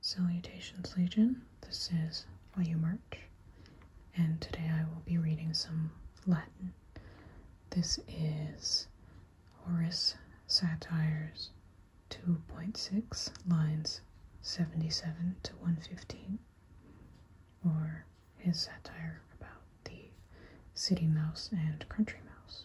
Salutations Legion, this is Liu Merch, and today I will be reading some Latin. This is Horace Satires 2.6, lines 77 to 115, or his satire about the city mouse and country mouse.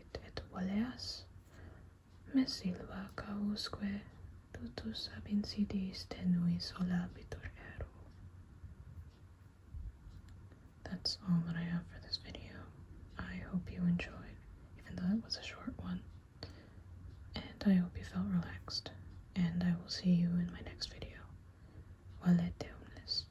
That's all that I have for this video. I hope you enjoyed, even though it was a short one. And I hope you felt relaxed. And I will see you in my next video. Valete omnes.